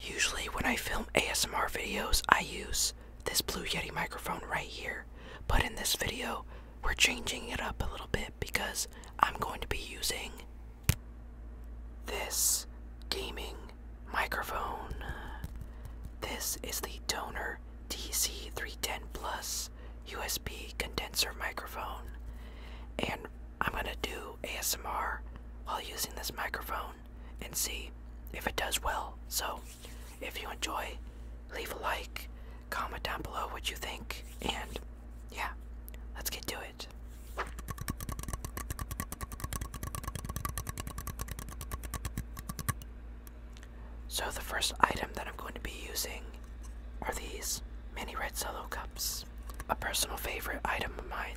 Usually, when I film ASMR videos, I use this Blue Yeti microphone right here, but in this video, we're changing it up a little bit because I'm going to be using this gaming microphone. This is the Toner DC310 Plus USB condenser microphone. And I'm gonna do ASMR while using this microphone and see if it does well. So, if you enjoy, leave a like, comment down below what you think, and yeah, let's get to it. So, the first item that I'm going to be using are these mini red solo cups, a personal favorite item of mine.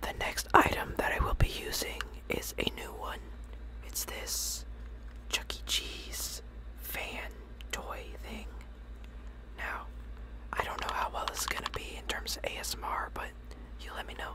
The next item that I will be using is a new one. It's this Chuck E. Cheese fan toy thing. Now, I don't know how well it's gonna be in terms of ASMR, but you let me know.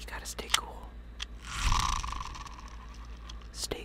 You gotta stay cool. Stay cool.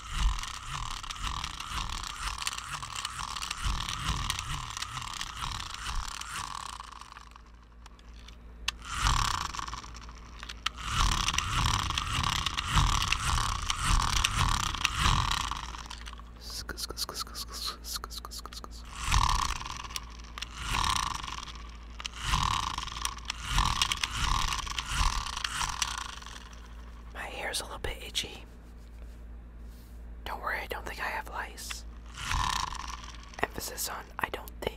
My hair's a little bit itchy. Don't worry, I don't think I have lice. Emphasis on I don't think.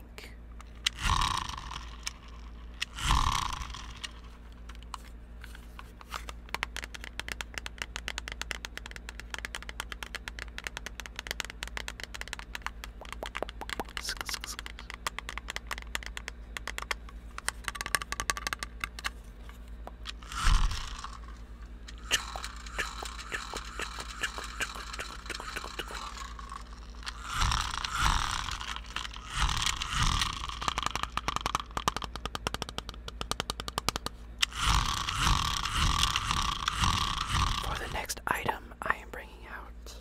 For the next item, I am bringing out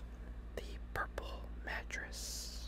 the purple mattress.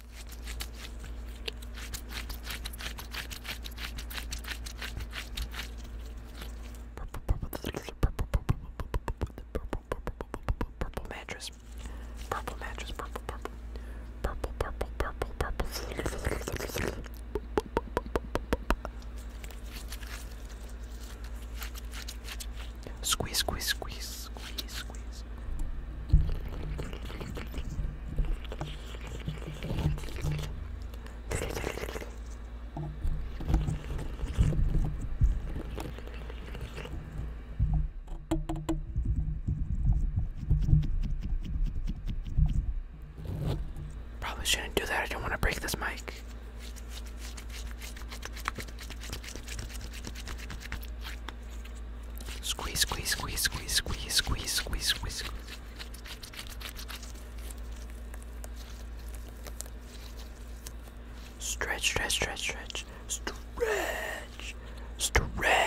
Purple, purple, purple, purple, purple mattress. Purple mattress, purple, purple, purple, purple, purple, purple. Squeeze, squeeze, squeeze, squeeze, squeeze. Probably shouldn't do that. I don't want to break this mic. Squeeze, squeeze, squeeze, squeeze, squeeze, squeeze, squeeze, squeeze. Stretch, stretch, stretch, stretch, stretch, stretch.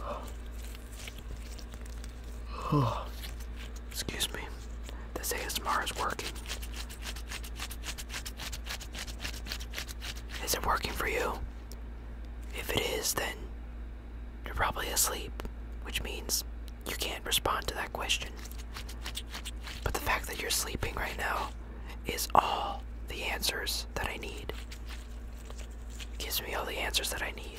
Excuse me. This ASMR is working. Is it working for you? If it is, then you're probably asleep, which means you can't respond to that question. But the fact that you're sleeping right now is all the answers that I need gives me all the answers that I need.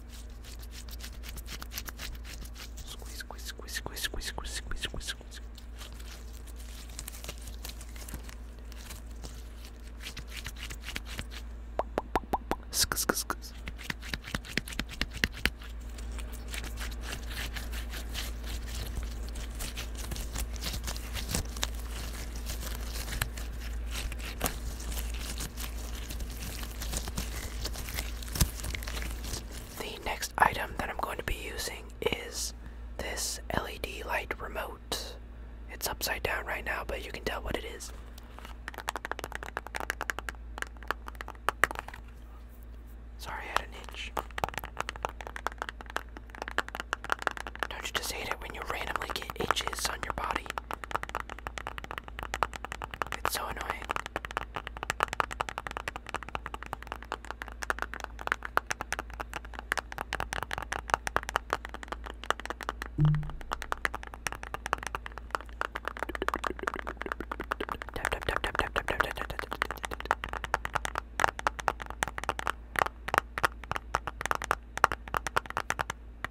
Squeeze, squeeze, squeeze, squeeze, squeeze, squeeze, squeeze, squeeze, squeeze. Sk, sk, sk. The next item that I'm going to be using is this LED light remote. It's upside down right now, but you can tell what it is. Sorry, I had an itch. Don't you just hate it when you randomly get itches on your body? It's so annoying. Tap tap tap tap tap tap tap tap tap tap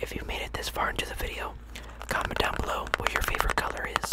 If you made it this far into the video, comment down below what your favorite color is.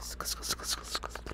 スカスカスカスカスカスカ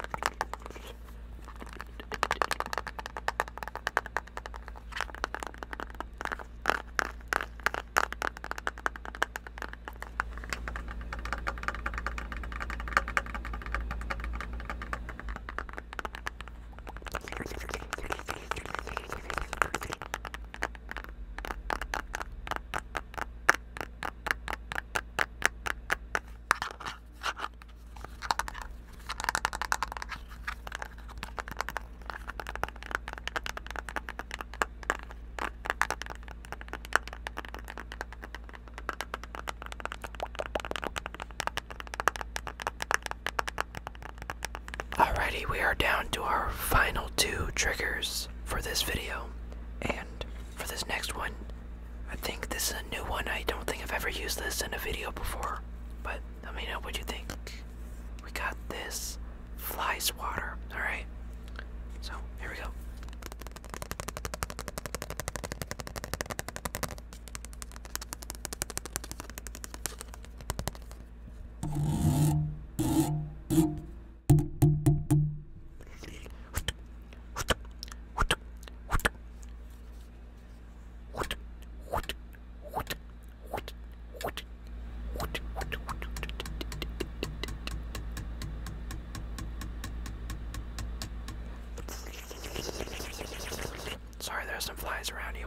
Alrighty, we are down to our final two triggers for this video. And for this next one, I think this is a new one. I don't think I've ever used this in a video before. But let me know what you think. We got this fly swatter, alright? So, here we go. Sorry, there are some flies around you.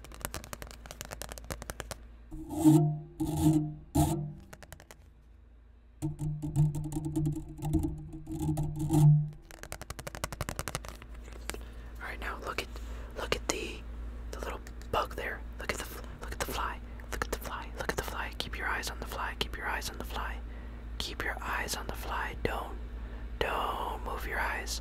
All right, now look at look at the the little bug there. Look at the look at the fly. Look at the fly. Look at the fly. Keep your eyes on the fly. Keep your eyes on the fly. Keep your eyes on the fly. Don't don't move your eyes.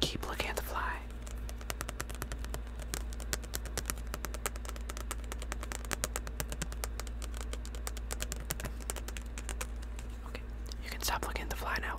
Keep looking at fly. Okay, you can stop looking at the fly now.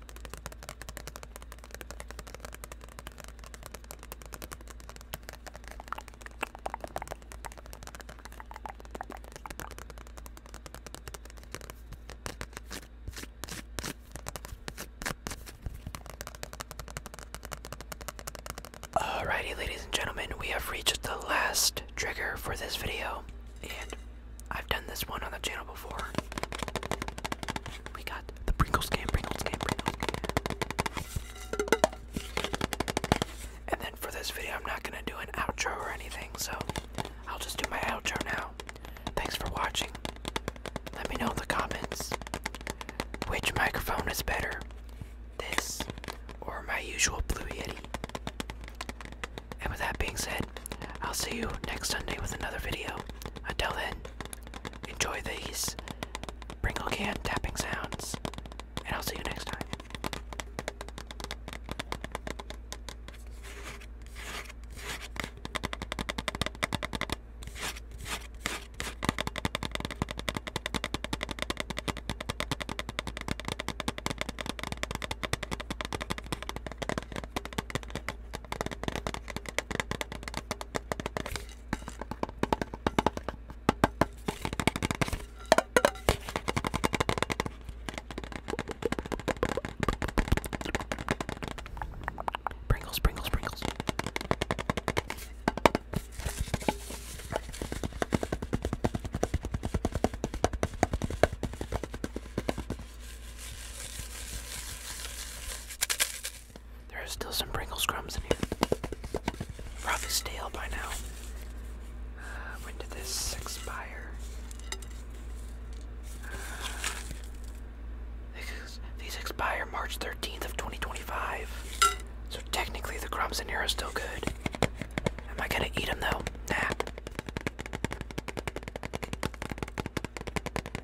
Alrighty, ladies and gentlemen, we have reached the last trigger for this video, and I've done this one on the channel before. We got the Pringles can, Pringles can, Pringles And then for this video, I'm not gonna do an outro or anything, so I'll just do my outro now. Thanks for watching. Let me know in the comments which microphone is better, this or my usual Blue Yeti. And with that being said, I'll see you next Sunday with another video. Until then, Enjoy these Pringle can tapping sounds, and I'll see you next time. Sprinkles, sprinkles, sprinkles. There are still some Pringles crumbs in here. Probably stale by now. Uh, when did this expire? Uh, these expire March 13th of 2025. So technically the crumbs in here are still good. Am I gonna eat them though? Nah.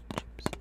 chips, chips, chips.